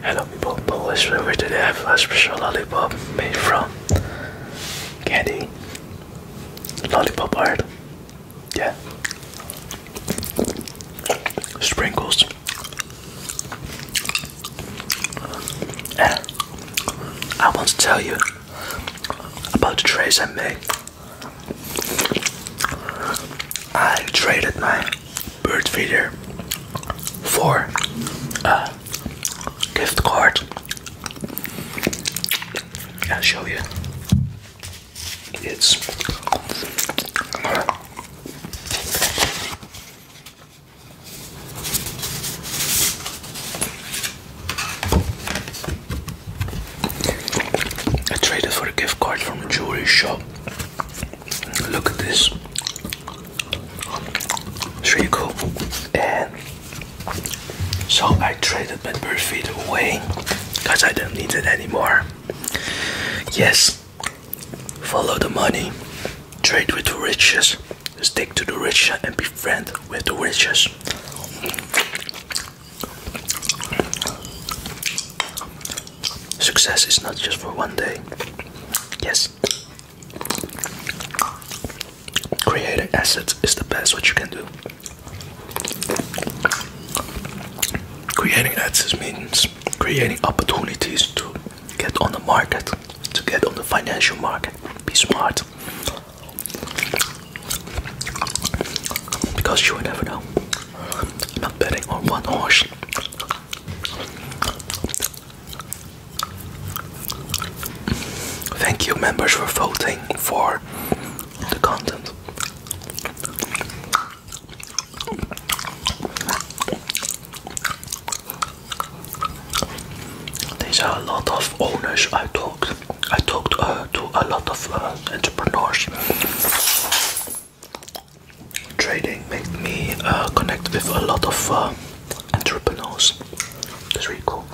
Hello people, Polish River. Today I have a special lollipop made from candy lollipop art. Yeah. Sprinkles. And I want to tell you about the trades I made. I traded my bird feeder for a gift card. I'll show you. It's I traded for a gift card from a jewelry shop Look at this. It's cool. And so I traded my bird feed away because I don't need it anymore. Yes, follow the money, trade with the riches, stick to the riches, and be friends with the riches. Success is not just for one day. Yes. Creating assets is the best what you can do. Creating assets means creating opportunities to get on the market, to get on the financial market. Be smart. Because you will never know. I'm not betting on one horse. Thank you, members, for voting for the content. There's a lot of owners I talked. I talked uh, to a lot of uh, entrepreneurs. Trading makes me uh, connect with a lot of uh, entrepreneurs. That's really cool.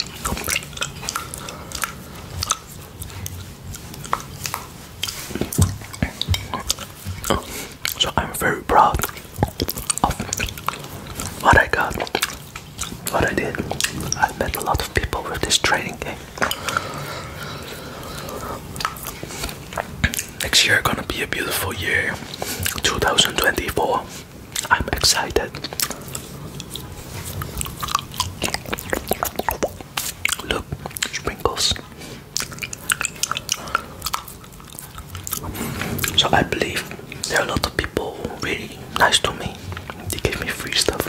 So I'm very proud of what I got, what I did. I met a lot of people with this trading game. Next year gonna be a beautiful year, 2024. I'm excited. Look, sprinkles. So I believe there are a lot of people really nice to me. They gave me free stuff.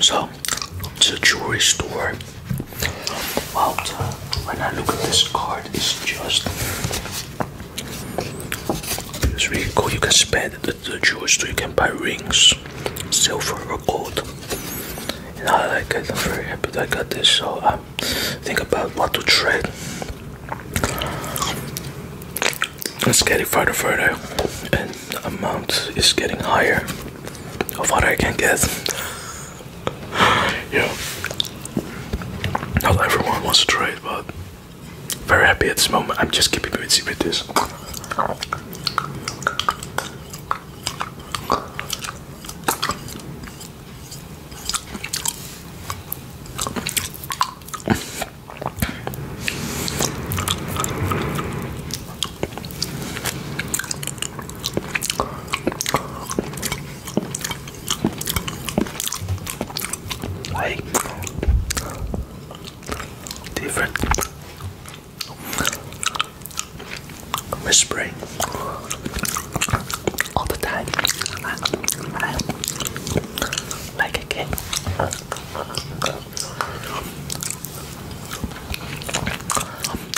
So it's a jewelry store. Wow, uh, when I look at this card, it's just it's really cool. You can spend the, the jewelry store, you can buy rings, silver or gold. And I like it, I'm very happy that I got this. So I um, think about what to trade it's getting further further and the amount is getting higher of what I can get. yeah. Not everyone wants to try it but very happy at this moment. I'm just keeping busy with this. Like different whispering all the time, like a kid.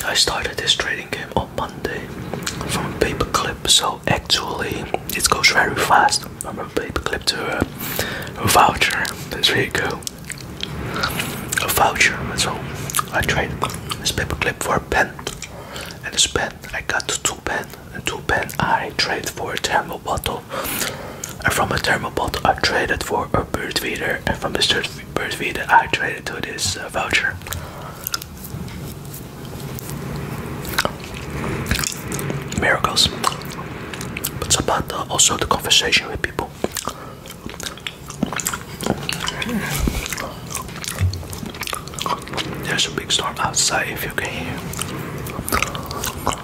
I started this trading game on Monday from a paperclip, so actually it goes very fast from a paperclip to a, voucher. That's very cool. A voucher, so I traded this paperclip for a pen, and this pen I got two pens two pen I traded for a thermal bottle. And from a thermal bottle I traded for a bird feeder and from this bird feeder I traded to this uh, voucher. Miracles. But it's about also the conversation with people. There's a big storm outside if you can hear.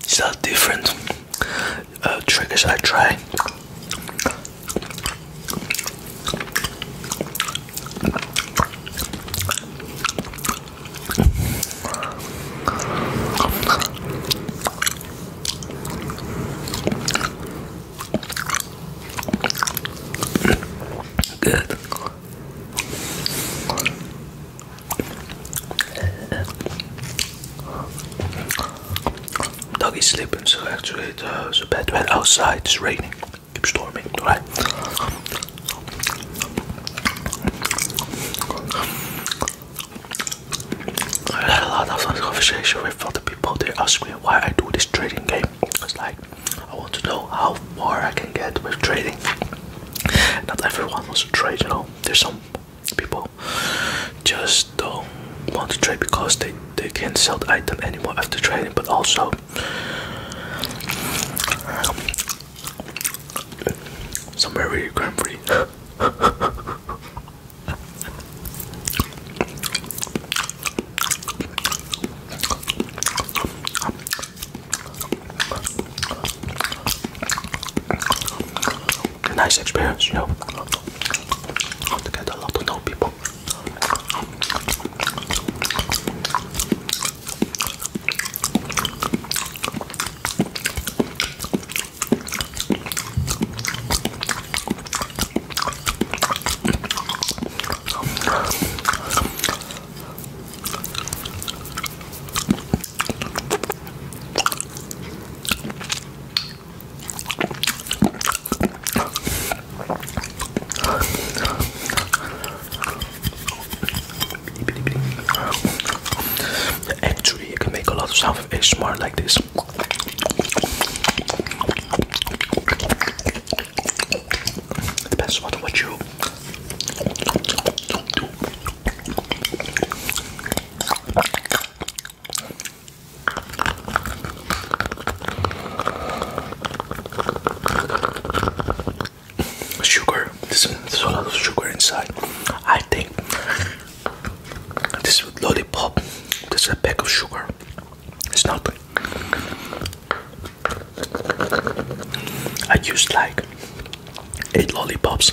It's are different uh, triggers I try. Good. Dog is sleeping, so actually it's uh, so bad when outside it's raining, keeps storming, right? I had a lot of conversation with other people. They ask me why I do this trading game. It's like I want to know how far I can get with trading. Not everyone wants to trade, you know. There's some people just don't want to trade because they they can't sell the item anymore after trading. But also. some very grumpy nice experience, you know. To get to know people. Actually, you can make a lot of sound with ASMR like this. Depends on what you do do. Sugar, there's a lot of sugar inside. I think this is lollipop. This is a pack of sugar. It's not. I used like eight lollipops.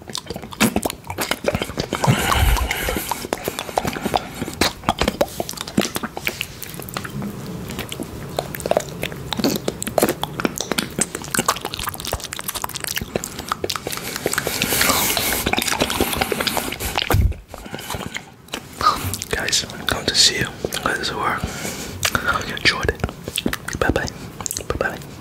Guys, I'm going to see you. I hope this worked. I hope you enjoyed it. Bye bye. Bye bye.